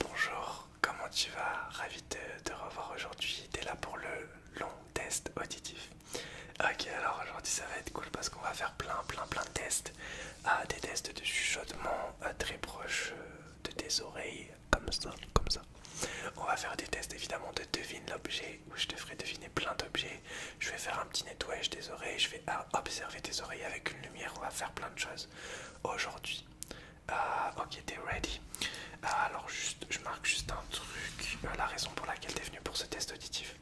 Bonjour, comment tu vas Ravi de te revoir aujourd'hui. T'es là pour le long test auditif. Ok, alors aujourd'hui ça va être cool parce qu'on va faire plein, plein, plein de tests. Ah, des tests de chuchotement euh, très proche euh, de tes oreilles, comme ça, comme ça. On va faire des tests évidemment de devine l'objet où je te ferai deviner plein d'objets. Je vais faire un petit nettoyage des oreilles, je vais ah, observer tes oreilles avec une lumière, on va faire plein de choses. Aujourd'hui, ah, ok, t'es ready. Ah, alors, juste, je marque juste un truc. Euh, la raison pour laquelle t'es venu pour ce test auditif.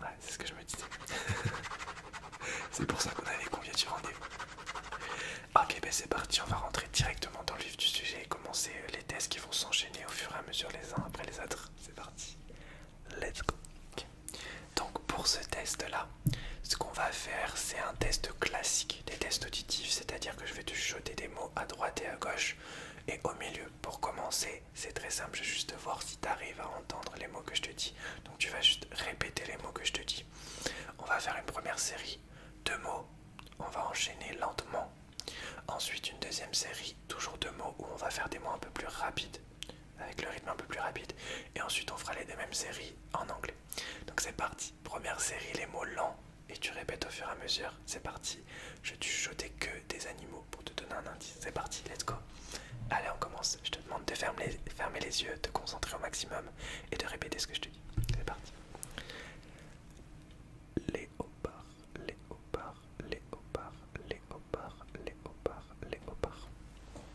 Ouais, c'est ce que je me disais. c'est pour ça qu'on avait convié du rendez-vous. Ok, ben c'est parti, on va rentrer directement dans le vif du sujet et commencer euh, les tests qui vont s'enchaîner au fur et à mesure les uns après les autres. C'est parti. Let's go. Donc pour ce test là, ce qu'on va faire c'est un test classique, des tests auditifs, c'est-à-dire que je vais te jeter des mots à droite et à gauche et au milieu. Pour commencer, c'est très simple, je vais juste voir si tu arrives à entendre les mots que je te dis. Donc tu vas juste répéter les mots que je te dis. On va faire une première série de mots, on va enchaîner lentement. Ensuite une deuxième série, toujours deux mots où on va faire des mots un peu plus rapides avec le rythme un peu plus rapide. Et ensuite, on fera les deux mêmes séries en anglais. Donc c'est parti. Première série, les mots lents. Et tu répètes au fur et à mesure. C'est parti. Je vais jeter que des animaux pour te donner un indice. C'est parti, let's go. Allez, on commence. Je te demande de fermer les, yeux, de concentrer au maximum et de répéter ce que je te dis. C'est parti. léopard, léopard, léopard, léopard, léopard, léopard.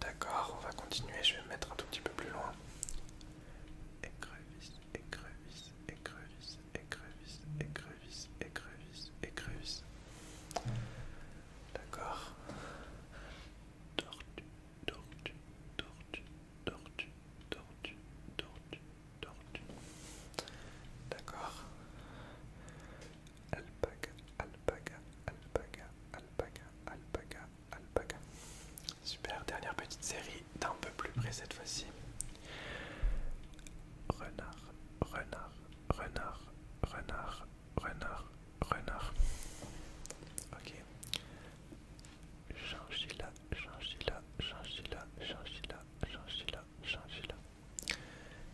D'accord, on va continuer, je vais me mettre un tout petit peu plus loin. Écrevisse, écrevisse, écrevisse, écrevisse, écrevisse, écrevisse, écrevisse. D'accord. Tortue, tortue, tortue, tortue, tortue, tortue, tortue. D'accord. Alpaga, alpaga, alpaga, alpaga, alpaga, alpaga. Super, dernière petite série d'un peu plus près cette fois-ci. Renard, renard, renard, renard, renard, renard. Ok. change la change la changila, là.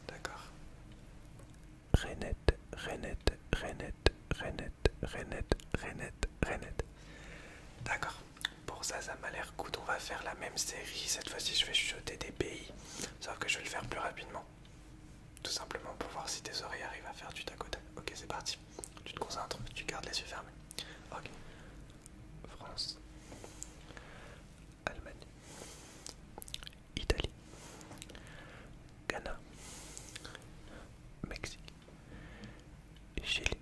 D'accord. Rénette, Renette, Renette, Renette, Renette, Renette, Rénette. D'accord. Pour ça, ça m'a l'air cool. On va faire la même série. Cette fois-ci, je vais chuchoter des pays. Sauf que je vais le faire plus rapidement. Tout simplement pour voir si tes oreilles arrivent à faire du tacot. Ok, c'est parti. Tu te concentres, tu gardes les yeux fermés. Ok. France. Allemagne. Italie, Ghana, Mexique, Chili,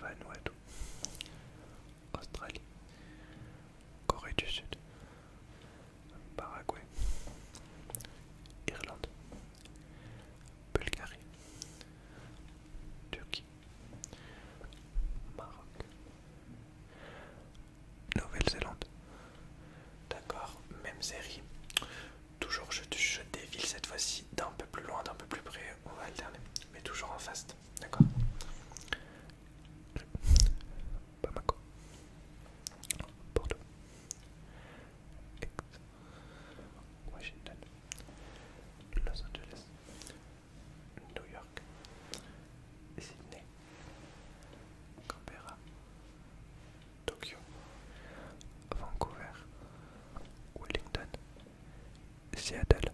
Vanuatu, Australie, Corée du Sud, Paraguay, Irlande, Bulgarie, Turquie, Maroc, Nouvelle-Zélande. D'accord, même série. Toujours je, je dévile cette fois-ci d'un peu plus loin, d'un peu plus près. On va alterner, mais toujours en fast. D'accord Bamako. Bordeaux. Washington. Los Angeles. New York. Sydney. Canberra, Tokyo, Vancouver, Wellington, Seattle.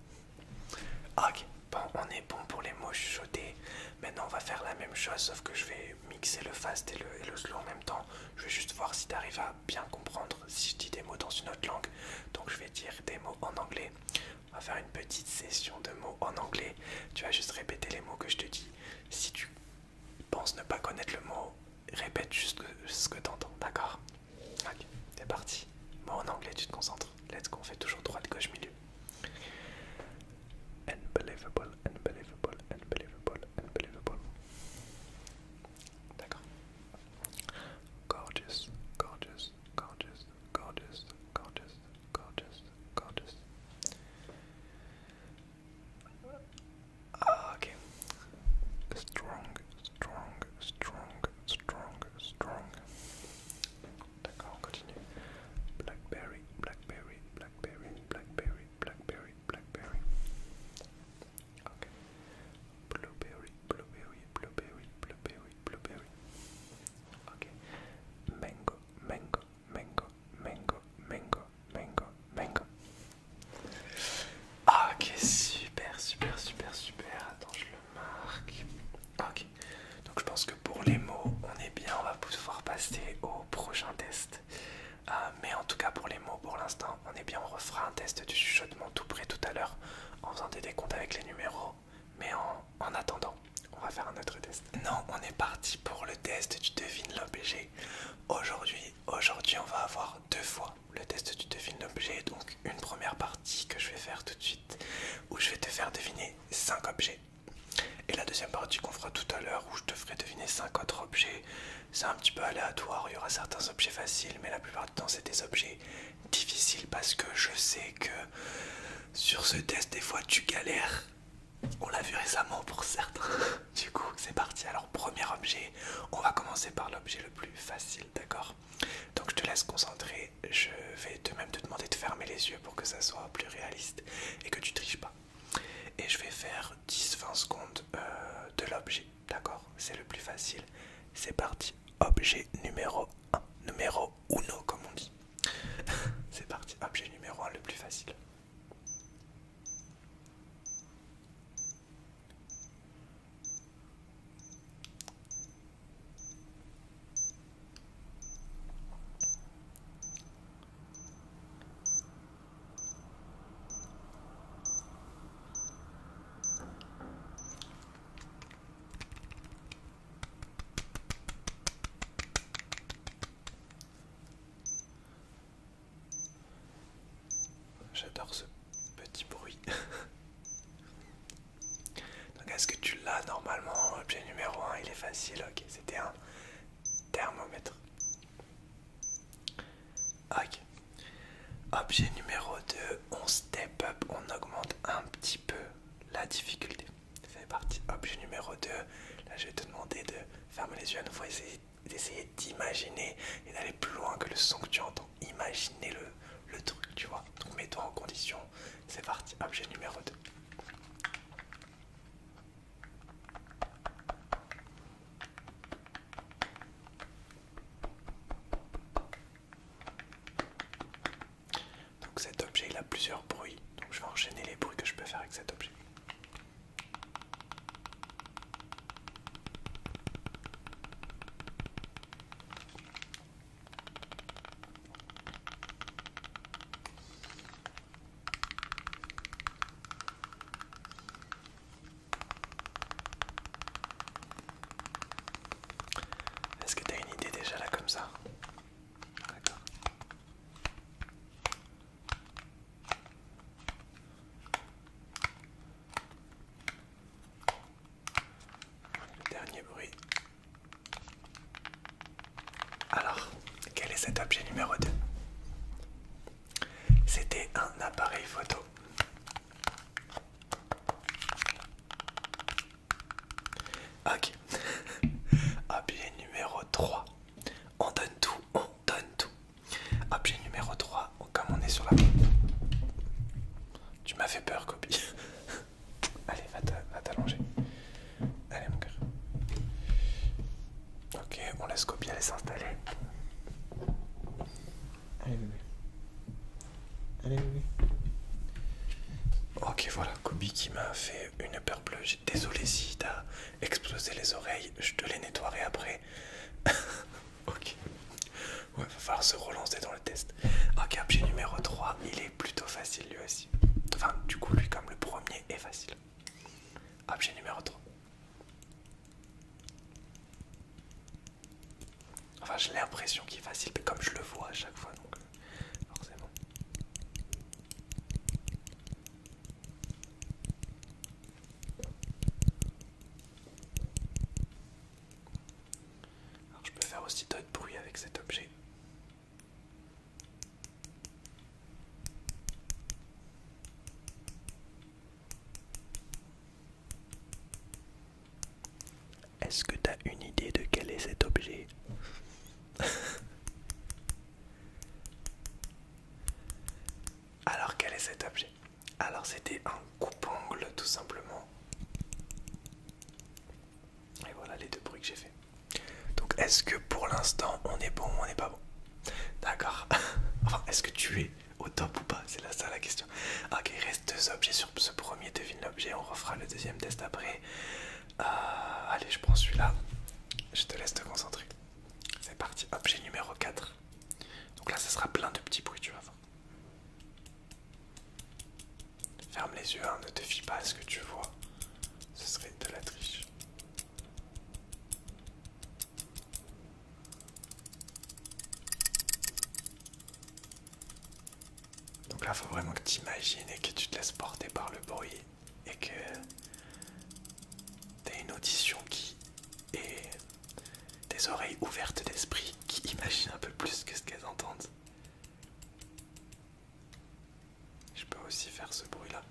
Ah, ok, bon, on est bon pour les mots chuchotés. Maintenant, on va faire la même chose, sauf que je vais mixer le fast et le, et le slow en même temps. Je vais juste voir si tu arrives à bien comprendre si je dis des mots dans une autre langue. Donc, je vais dire des mots en anglais, on va faire une petite session de mots en anglais. Tu vas juste répéter les mots que je te dis. Si tu penses ne pas connaître le mot, répète juste ce que tu entends, d'accord Ok, c'est parti. Moi en anglais, tu te concentres. Let's go, on fait toujours droite, gauche, milieu. Unbelievable, unbelievable, unbelievable, unbelievable. D'accord. Gorgeous, gorgeous, gorgeous, Goddess, goddess, goddess, goddess. Ah, okay. Strong, strong, strong, strong, strong. D'accord, on continue. Blackberry, blackberry, blackberry, blackberry, blackberry, blackberry. Okay. Blueberry, blueberry, blueberry, blueberry, blueberry. Okay. Mango, mango, mango, mango, mango, mango, mango. Ah, ok, super, super, super, super. Attends, je le marque. Ah, ok, donc je pense que pour les mots, on est bien, on va pouvoir passer au prochain test. Euh, mais en tout cas, pour les mots, pour l'instant, on est bien, on refera un test du chuchotement tout près tout à l'heure en faisant des décomptes avec les numéros. Mais en, attendant, on va faire un autre test. Non, on est parti pour le test du devine l'objet. Aujourd'hui, aujourd'hui, on va avoir deux fois le test du devine l'objet. Donc une première partie que je vais faire tout de suite, où je vais te faire deviner cinq objets. Et la deuxième partie qu'on fera tout à l'heure, où je te ferai deviner cinq autres objets. C'est un petit peu aléatoire, il y aura certains objets faciles, mais la plupart du temps c'est des objets difficiles parce que je sais que sur ce test, des fois tu galères. On l'a vu récemment pour certains. Du coup, c'est parti. Alors, premier objet, on va commencer par l'objet le plus facile, d'accord Donc, je te laisse concentrer. Je vais de même te demander de fermer les yeux pour que ça soit plus réaliste et que tu triches pas. Et je vais faire 10-20 secondes euh, de l'objet, d'accord C'est le plus facile. C'est parti. Objet numéro 1. Numéro uno, comme on dit. C'est parti, objet numéro un le plus facile. J'adore ce petit bruit. Donc est-ce que tu l'as normalement Objet numéro 1, il est facile, ok, c'était un thermomètre. Ok. Objet numéro 2, on step up, on augmente un petit peu la difficulté. C'est partie. Objet numéro 2. Là, je vais te demander de fermer les yeux à nouveau, et d'essayer d'imaginer et d'aller plus loin que le son que tu entends. Imaginez le, le truc, tu vois. Donc mets-toi en condition. C'est parti. Objet numéro 2. Donc cet objet il a plusieurs bruits, donc je vais enchaîner les bruits que je peux faire avec cet objet. Est-ce que tu as une idée déjà là comme ça dernier bruit. Alors, quel est cet objet numéro 2 C'était un appareil photo. Ok. Objet numéro 3. On donne tout, on donne tout. Objet numéro 3, comme on est sur la... Tu m'as fait peur, copie. Allez, va t'allonger. Allez, mon cœur. Ok, on laisse copie aller s'installer. Allez, bébé. Ok, voilà, Kobi qui m'a fait une peur bleue. Désolé si t'as explosé les oreilles, je te les nettoierai après. ok. Ouais, va falloir se relancer dans le test. Ok, objet numéro 3, il est plutôt facile lui aussi. Enfin, du coup, lui, comme le premier, est facile. Objet numéro 3. Enfin, j'ai l'impression qu'il est facile, mais comme je le vois à chaque fois, donc euh, forcément. Alors, je peux faire aussi d'autres bruits avec cet objet. Est-ce que t'as une idée de quel est cet objet Alors quel est cet objet Alors c'était un coupe angle tout simplement. Et voilà les deux bruits que j'ai fait. Donc est-ce que pour l'instant on est bon ou on n'est pas bon D'accord. Enfin est-ce que tu es au top ou pas C'est là ça la question. Ok, il reste deux objets ce premier devine l'objet, on refera le deuxième test après. Euh, allez, je prends celui-là. Je te laisse te concentrer. C'est parti, objet numéro 4. Donc là, ce sera plein de petits bruits, tu vas voir. Ferme les yeux, hein, ne te fie pas à ce que tu vois. Ce serait de la triche. Donc là, faut vraiment que tu imagines et que tu te laisses porter par le bruit et que t'aies une audition qui est des oreilles ouvertes d'esprit qui imaginent un peu plus que ce qu'elles entendent. Je peux aussi faire ce bruit-là.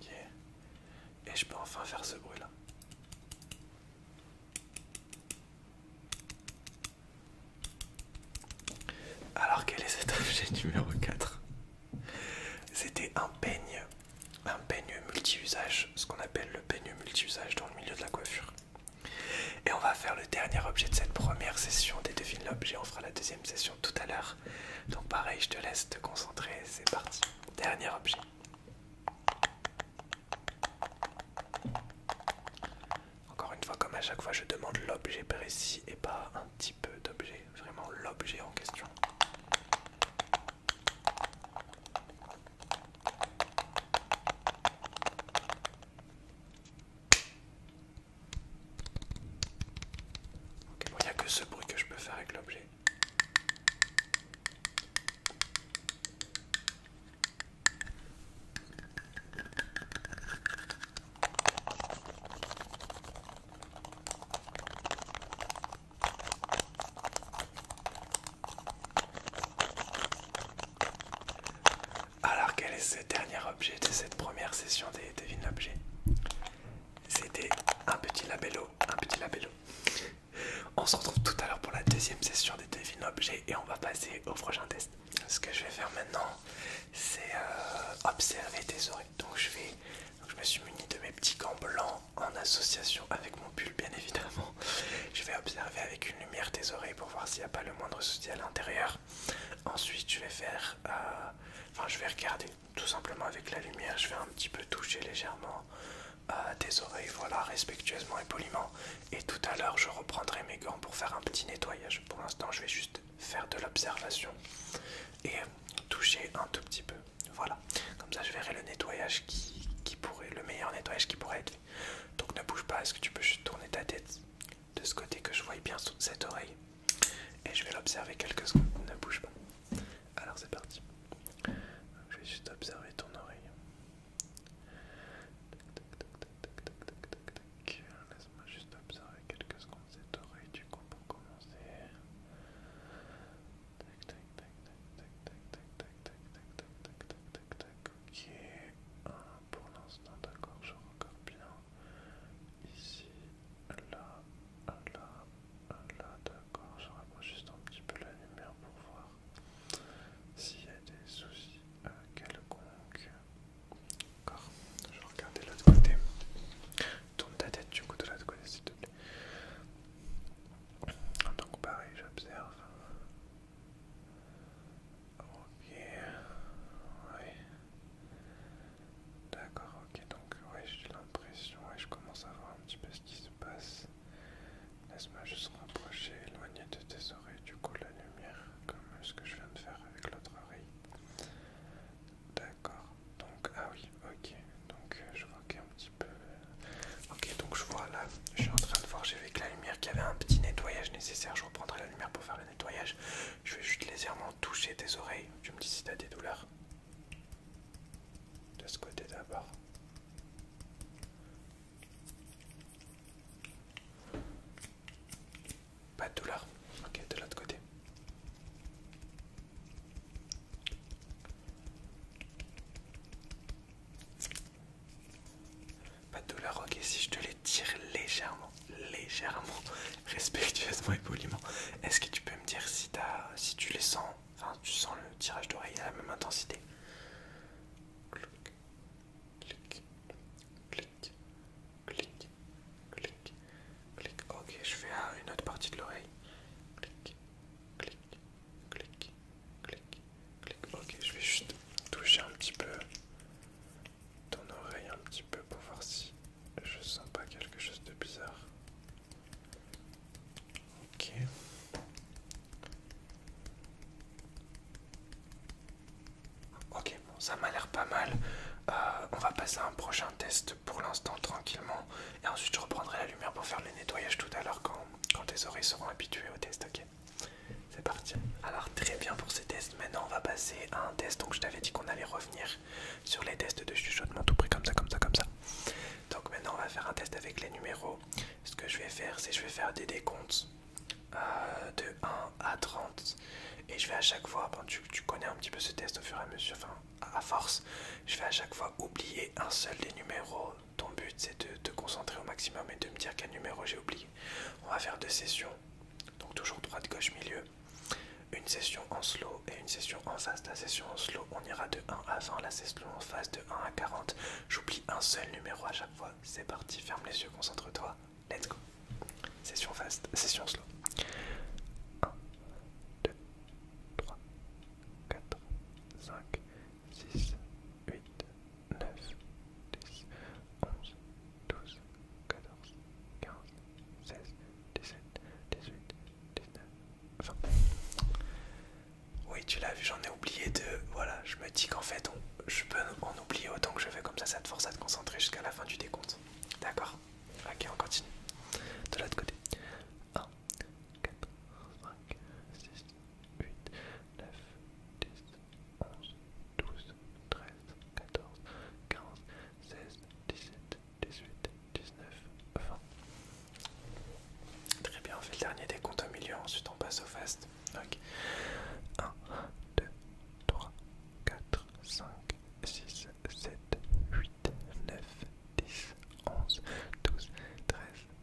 Ok. Et je peux enfin faire ce bruit là. Alors quel est cet objet numéro 4 C'était un peigne, un peigne multi-usage, ce qu'on appelle le peigne multi-usage dans le milieu de la coiffure. Et on va faire le dernier objet de cette première session des devines l'objet, on fera la deuxième session tout à l'heure. Donc pareil, je te laisse te concentrer, c'est parti. Dernier objet. Encore une fois, comme à chaque fois, je demande l'objet précis et pas un petit peu d'objet, vraiment l'objet en question. il n'y a que ce bruit que je peux faire avec l'objet. Alors quel est ce dernier objet de cette première session des devine C'était un petit labello, un petit labello. On se retrouve tout à l'heure pour la deuxième session des devine objets et on va passer au prochain test. Ce que je vais faire maintenant, c'est euh, observer tes oreilles. Donc je vais, je me suis muni de mes petits gants blancs en association avec mon pull, bien évidemment. Je vais observer avec une lumière tes oreilles pour voir s'il n'y a pas le moindre souci à l'intérieur. Ensuite, je vais faire, euh, enfin, je vais regarder tout simplement avec la lumière, je vais un petit peu toucher légèrement à euh, des oreilles, voilà, respectueusement et poliment. Et tout à l'heure, je reprendrai mes gants pour faire un petit nettoyage. Pour l'instant, je vais juste faire de l'observation et toucher un tout petit peu. Voilà, comme ça, je verrai le nettoyage qui, pourrait, le meilleur nettoyage qui pourrait être Donc ne bouge pas, est-ce que tu peux tourner ta tête de ce côté que je vois bien sous cette oreille et je vais l'observer quelques secondes, ne bouge pas. Alors c'est parti. Je vais juste observer ton oreille. Laisse-moi juste observer quelques secondes cette oreille du coup pour commencer. ok pour l'instant d'accord je regarde bien hein. ici là là Là, d'accord, je rapproche juste un petit peu la lumière pour voir s'il y a des soucis quelconques. D'accord, je vais l'autre côté. Tourne ta tête du coup de l'autre côté, s'il te plaît. Donc, pareil, j'observe. Ok, oui. D'accord, ok donc ouais j'ai l'impression je commence à voir un petit peu ce qui se passe. Laisse-moi juste rapprocher, éloigner de tes oreilles du coup la lumière comme ce que je viens de faire avec l'autre oreille. D'accord, donc ah oui ok donc euh, je vois qu'il y a un petit peu... Euh, ok donc je vois là, je suis en train de voir, j'ai vu que la lumière qu'il y avait un petit nettoyage nécessaire, je reprendrai la lumière pour faire le nettoyage. Je vais juste légèrement toucher tes oreilles, tu me dis si t'as des douleurs de ce côté d'abord. Pas de douleur. Ok, de l'autre côté. Pas de douleur, ok, si je te les tire légèrement, légèrement, respectueusement et poliment, est-ce que tu peux me dire si, as, si tu les sens Enfin, tu sens le tirage d'oreille à la même intensité. Clic, clic, clic, clic, clic, clic. Ok, je fais une autre partie de l'oreille. clic, clic, clic, clic. Ok, je vais juste toucher un petit peu ton oreille un petit peu pour voir si je sens pas quelque chose de bizarre. Ok. ça m'a l'air pas mal. Euh, on va passer à un prochain test pour l'instant tranquillement. Et ensuite je reprendrai la lumière pour faire le nettoyage tout à l'heure quand, quand tes oreilles seront habituées au test, ok C'est parti. Alors très bien pour ces tests. Maintenant on va passer à un test. Donc je t'avais dit qu'on allait revenir sur les tests de chuchotement tout près comme ça, comme ça, comme ça. Donc maintenant on va faire un test avec les numéros. Ce que je vais faire, c'est je vais faire des décomptes euh, de 1 à 30 et je vais à chaque fois, tu, tu connais un petit peu ce test au fur et à mesure, enfin à force, je vais à chaque fois oublier un seul des numéros. Ton but c'est de te concentrer au maximum et de me dire quel numéro j'ai oublié. On va faire deux sessions, donc toujours droite, gauche, milieu une session en slow et une session en fast. La session en slow, on ira de 1 à 20, la session en fast de 1 à 40. J'oublie un seul numéro à chaque fois. C'est parti, ferme les yeux, concentre-toi. Let's go. Session fast, session slow. 1, 2, 3, 4, 5, 6, 8, 9, 10, 11, 12, 14, 15, 16, 17, 18, 20. Oui, tu l'as vu, j'en ai oublié deux. Voilà, je me dis qu'en fait, je peux en oublier autant que je veux, comme ça, ça te force à te concentrer jusqu'à la fin du décompte. D'accord Ok, on continue. De l'autre côté. 1, 4, 5, 6, 8, 9, 10, 11, 12, 13, 14, 15, 16, 17, 18, 19, 20. Très bien, on fait le dernier des comptes au milieu, ensuite on passe au fast. 1, 2, 3, 4, 5, 6, 7, 8, 9, 10, 11, 12, 13,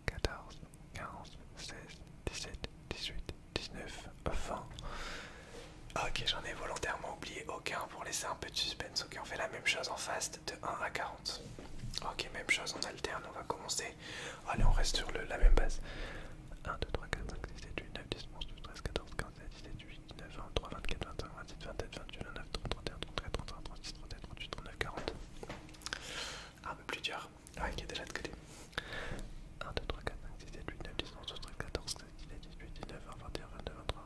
14, 15, 16, 17, 18, 19, 20. Ok, j'en ai volontairement oublié aucun pour laisser un peu de suspense. Ok, on fait la même chose en fast de 1 à 40. Ok, même chose, on alterne, on va commencer. Allez, on reste sur la même base. 1, 2, 3, 4, 5, 6, 7, 8, 9, 10, 11, 12, 13, 14, 15, 17, 18, 19, 20, 23, 24, 25, 27, 28, 29, 30, 31, 33, 33, 36, 37, 38, 39, 40. Un peu plus dur. Ah, est déjà de côté. 1, 2, 3, 4, 5, 6, 7, 8, 9, 10, 11, 12, 13, 14, 15, 17, 18, 19, 20, 21, 22, 23,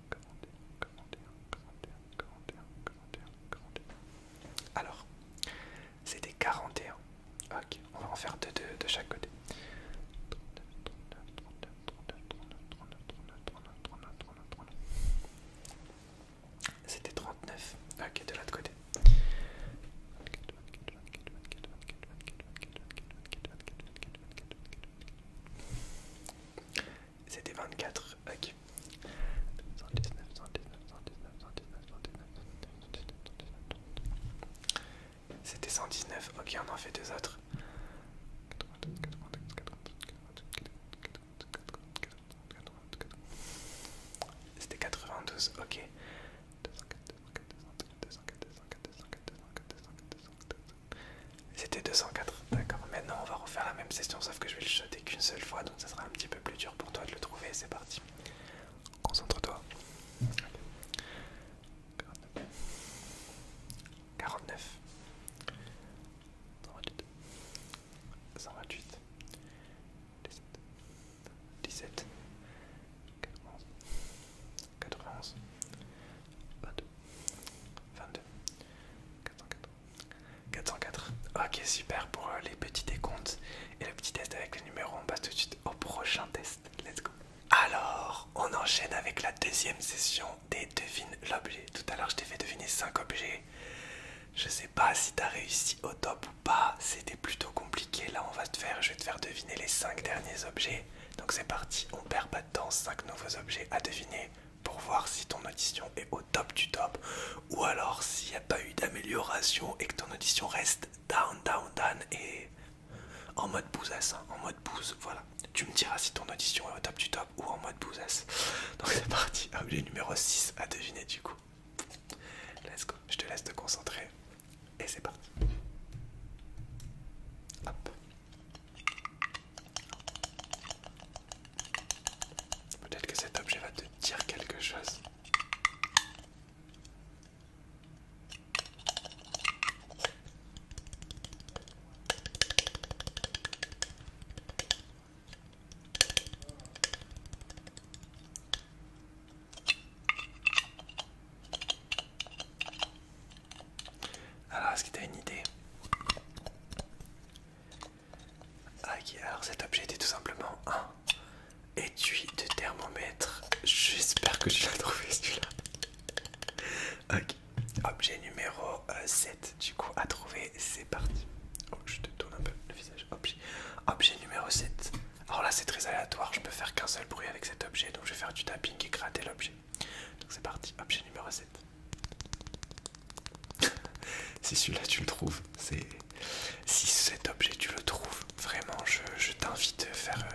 41, Alors, c'était 41. Ok, on va en faire deux, deux de chaque côté. 39, 39, 39, 39, 39, 39, 39, 39, 39. C'était 39. Ok, de l'autre côté. C'était 24. Ok. C'était 119. Ok, on en fait deux autres. C'était 92. Ok. C'était 204, d'accord. Maintenant, on va refaire la même session, sauf que je vais le shotter qu'une seule fois, donc ça sera un petit peu plus dur pour toi de le trouver. C'est parti. Concentre-toi. 49. 128. 128. 17. 17. 91. 91. 22. 22. 404. 404. Ok, super pour euh, les petits décomptes et le petit test avec le numéro, On passe tout de suite au prochain test. Let's go. Alors, on enchaîne avec la deuxième session des devines l'objet. Tout à l'heure, je t'ai fait deviner 5 objets. Je sais pas si t'as réussi au top ou pas. C'était plutôt compliqué. Là, on va te faire, je vais te faire deviner les 5 derniers objets. Donc c'est parti, on perd pas de temps, 5 nouveaux objets à deviner pour voir si ton audition est au top du top ou alors s'il n'y a pas eu d'amélioration et que ton audition reste down, down, down et en mode bousasse, hein, en mode bouse, voilà. Tu me diras si ton audition est au top du top ou en mode bousasse. Donc c'est parti, objet numéro 6 à deviner du coup. Let's go, je te laisse te concentrer et c'est parti. Peut-être que cet objet va te dire quelque chose. Alors, est-ce que tu une idée ah, Ok, alors cet objet était tout simplement un étui de thermomètre. J'espère que tu l'as trouvé celui-là. Ok, objet numéro 7, euh, du coup, à trouver, c'est parti. Oh, je te tourne un peu le visage. Objet, objet numéro 7. Alors là, c'est très aléatoire, je peux faire qu'un seul bruit avec cet objet, donc je vais faire du tapping et gratter l'objet. Donc c'est parti, objet numéro 7. si celui-là tu le trouves, c'est... Si cet objet tu le trouves, vraiment, je, t'invite à faire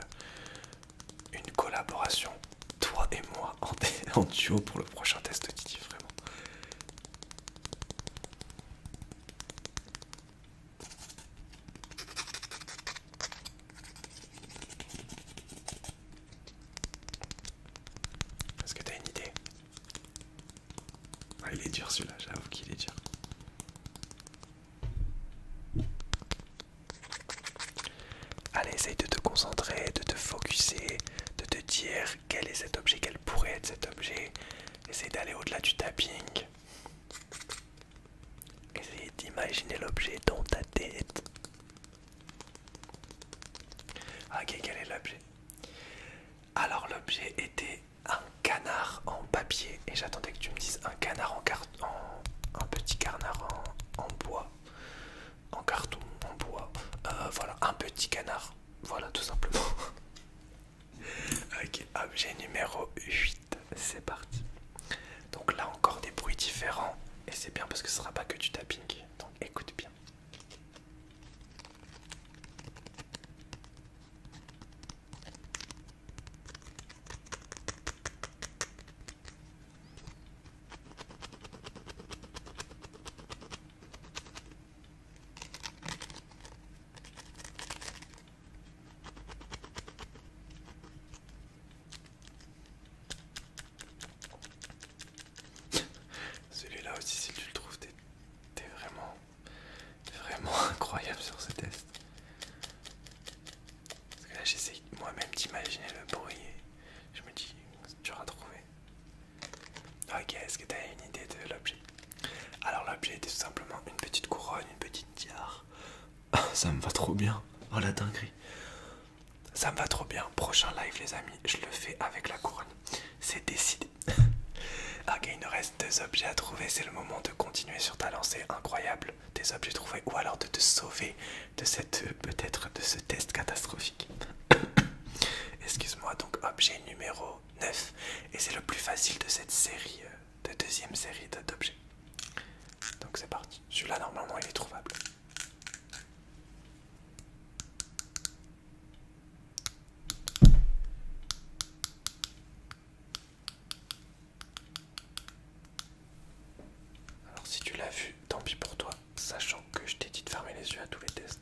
euh, une collaboration, toi et moi, en, en duo pour le prochain test auditif, vraiment. Est-ce que t'as une idée ah, Il est dur celui-là, j'avoue qu'il est dur. Allez, essaye de te concentrer, de te focuser, de te dire quel est cet objet, quel pourrait être cet objet. Essaye d'aller au-delà du tapping. Essaye d'imaginer l'objet dans ta tête. Ah, ok, quel est l'objet Alors l'objet était un canard en papier et j'attendais que tu me dises un canard en carton, un petit canard en, bois, en carton, en bois. Euh, voilà, un petit canard. Voilà, tout simplement. ok, objet numéro 8, c'est parti. Donc là encore des bruits différents et c'est bien parce que ce sera pas que du tapping. Donc écoute bien. Celui-là aussi, si tu le trouves, t'es vraiment, vraiment incroyable sur ce test. Parce que là, j'essaye moi-même d'imaginer le bruit et je me dis, tu auras trouvé. Ok, est-ce que t'as une idée de l'objet Alors, l'objet était tout simplement une petite couronne, une petite tiare. Ça me va trop bien. Oh la dinguerie. Ça me va trop bien. Prochain live, les amis, je le fais avec la couronne. C'est décidé. ok, ah, il nous reste deux objets à trouver. C'est le moment de continuer sur ta lancée incroyable des objets trouvés ou alors de te sauver de cette peut-être de ce test catastrophique. Excuse-moi, donc objet numéro 9 et c'est le plus facile de cette série euh, de deuxième série d'objets. Donc c'est parti. Celui-là normalement il est trouvable. Alors si tu l'as vu, tant pis pour toi, sachant que je t'ai dit de fermer les yeux à tous les tests.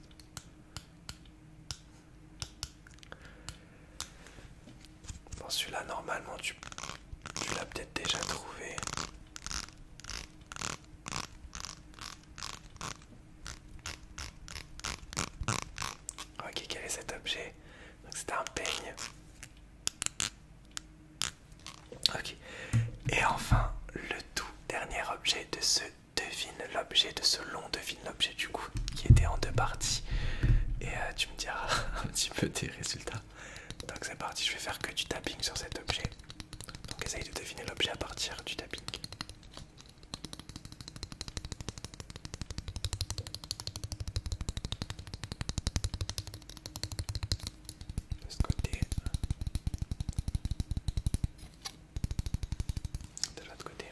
Bon, celui-là normalement tu, l'as peut-être déjà trouvé. Ok, quel est cet objet C'est un peigne. Ok. Et enfin, le tout dernier objet de ce devine l'objet, de ce long devine l'objet du coup, qui était en deux parties. Et euh, tu me diras un petit peu tes résultats. Donc c'est parti, je vais faire que du tapping sur cet objet. Donc essayez de deviner l'objet à partir du tapping. De ce côté. De l'autre côté.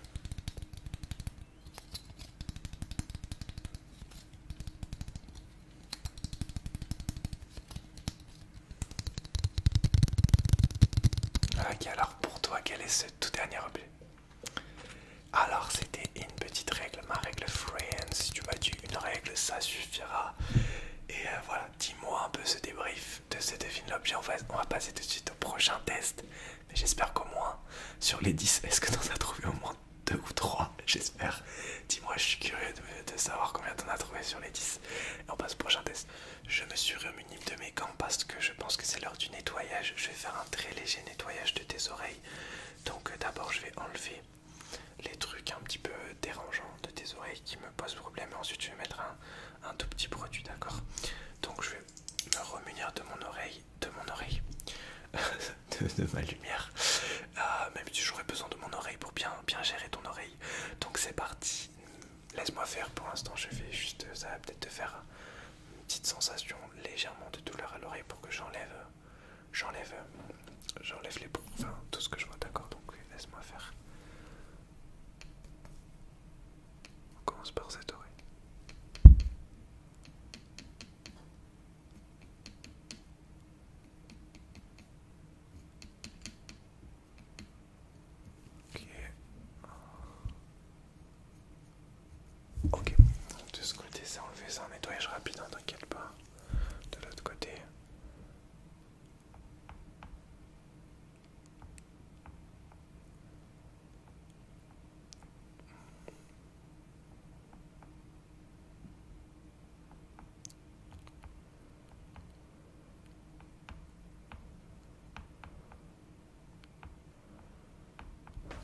Ok, ah, alors pour toi, quel est ce tout dernier objet Alors, c'était une petite règle, ma règle friend. Si tu m'as dit une règle, ça suffira. Et euh, voilà, dis-moi un peu ce débrief de ce devine l'objet. On va, passer tout de suite au prochain test. Mais j'espère qu'au moins, sur les 10, est-ce que en as trouvé au moins 2 deux ou trois, j'espère. Dis-moi, je suis curieux de, savoir combien t'en as trouvé sur les 10. on passe au prochain test. Je me suis remuni de mes gants parce que je pense que c'est l'heure du nettoyage. Je vais faire un très léger nettoyage de tes oreilles. Donc euh, d'abord, je vais enlever les trucs un petit peu dérangeants de tes oreilles qui me posent problème. Et ensuite, je vais mettre un, un tout petit produit, d'accord Donc je vais me remunir de mon oreille, de mon oreille, de, ma lumière. Euh, même si j'aurais besoin de mon oreille pour bien, bien gérer ton oreille. Donc c'est parti. Laisse-moi faire pour l'instant. Je vais juste, ça va peut-être te faire une petite sensation légèrement de douleur à l'oreille pour que j'enlève, j'enlève, j'enlève les bouts tout ce que je vois. D'accord. Donc laisse-moi faire. On commence par cette oreille. Ok. Ok. De ce côté, c'est enlever ça, un nettoyage rapide, hein, t'inquiète pas. De l'autre côté.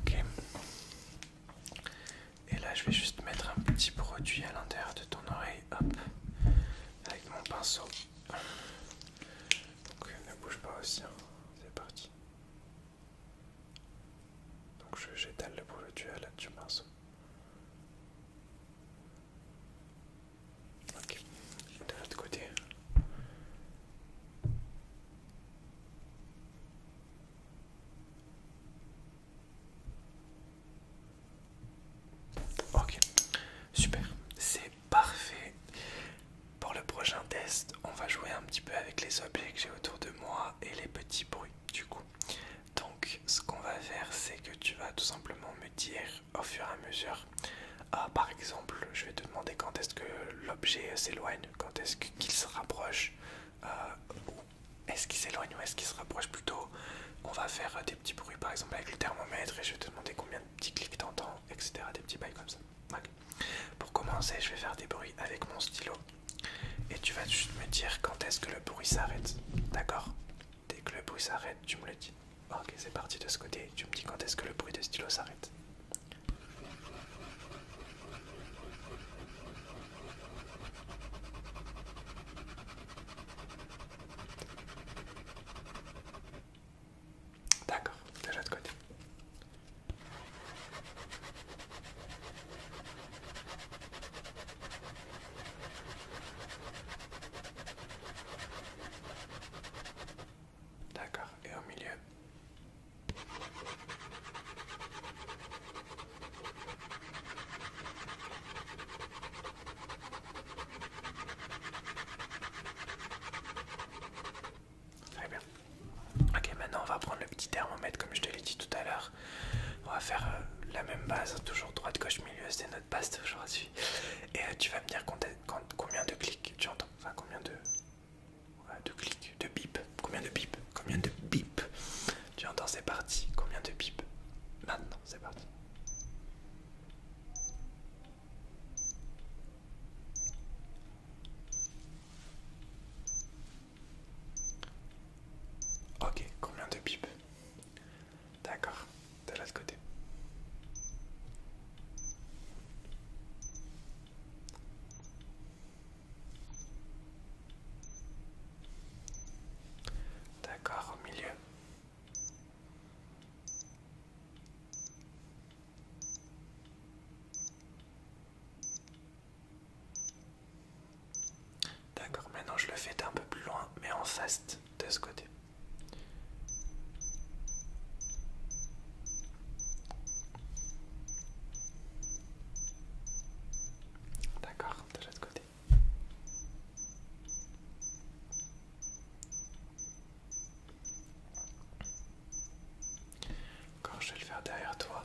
Ok. Et là, je vais juste mettre un petit produit à l'intérieur de ton oreille, hop, avec mon pinceau. Donc euh, ne bouge pas aussi, hein. c'est parti. Donc je j'étale le produit à l'aide du pinceau. Ok, de l'autre côté. Ok, super, c'est parfait. Pour le prochain test, on va jouer un petit peu avec les objets que j'ai autour de moi et les petits bruits du coup. Donc ce qu'on va faire c'est que tu vas tout simplement me dire au fur et à mesure, ah, par exemple je vais te demander quand est-ce que l'objet euh, s'éloigne, quand est-ce qu'il se rapproche, euh, ou est-ce qu'il s'éloigne ou est-ce qu'il se rapproche plutôt. On va faire euh, des petits bruits par exemple avec le thermomètre et je vais te demander combien de petits clics t'entends, etc. Des petits bails comme ça. Pour commencer je vais faire des bruits avec mon stylo. Et tu vas juste me dire quand est-ce que le bruit s'arrête. D'accord Dès que le bruit s'arrête, tu me le dis. Ok, c'est parti de ce côté. Tu me dis quand est-ce que le bruit de stylo s'arrête. D'accord, déjà de côté. D'accord, et au milieu. Très bien. Ok, maintenant on va prendre le petit thermomètre comme je te l'ai dit tout à l'heure. On va faire euh, la même base, hein, toujours droite, gauche, milieu, c'est notre base aujourd'hui. Et euh, tu vas me dire combien de clics tu entends, enfin combien de, de clics, de bip, combien de bip, combien de bip tu entends, c'est parti, combien de bip Maintenant, c'est parti. Ok, combien de pipes D'accord, de l'autre côté. D'accord, au milieu. D'accord, maintenant je le fais d'un peu plus loin, mais en faste de ce côté. D'accord, de l'autre côté. Encore, je vais le faire derrière toi,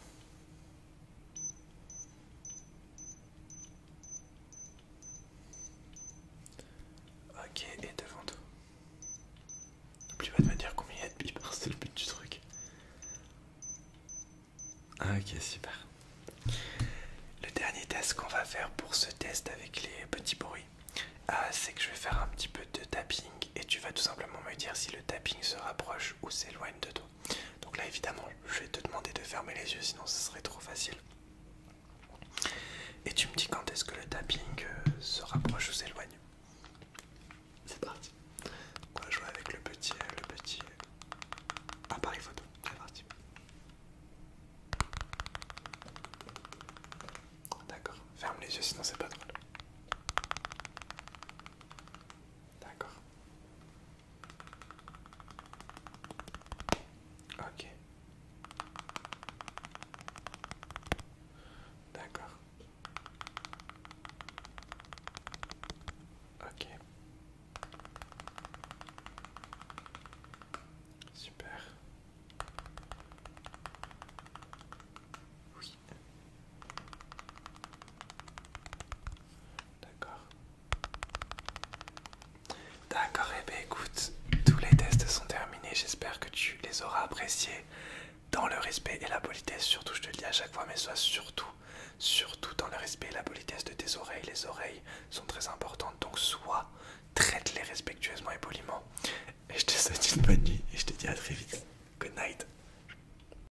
Ok, et devant toi. N'oublie pas de me dire combien il y a de bipars, c'est le but du truc. Ah, ok, super. Le dernier test qu'on va faire pour ce test avec les petits bruits, ah, c'est que je vais faire un petit peu de tapping et tu vas tout simplement me dire si le tapping se rapproche ou s'éloigne de toi. Donc là évidemment je vais te demander de fermer les yeux sinon ce serait trop facile. Et tu me dis quand est-ce que le tapping euh, se rapproche ou s'éloigne. C'est parti. On va jouer avec le petit, euh, le petit euh, appareil photo. C'est parti. D'accord, ferme les yeux sinon c'est pas drôle. D'accord. Ok. D'accord. Ok. Super. Oui. D'accord. D'accord, et eh ben, écoute, tous les tests sont terminés. J'espère que tu les auras appréciés dans le respect et la politesse. Surtout, je te le dis à chaque fois, mais sois surtout, surtout dans le respect et la politesse de tes oreilles. Les oreilles sont très importantes, donc sois, traite-les respectueusement et poliment. Et je te souhaite une bonne nuit et je te dis à très vite. Good night.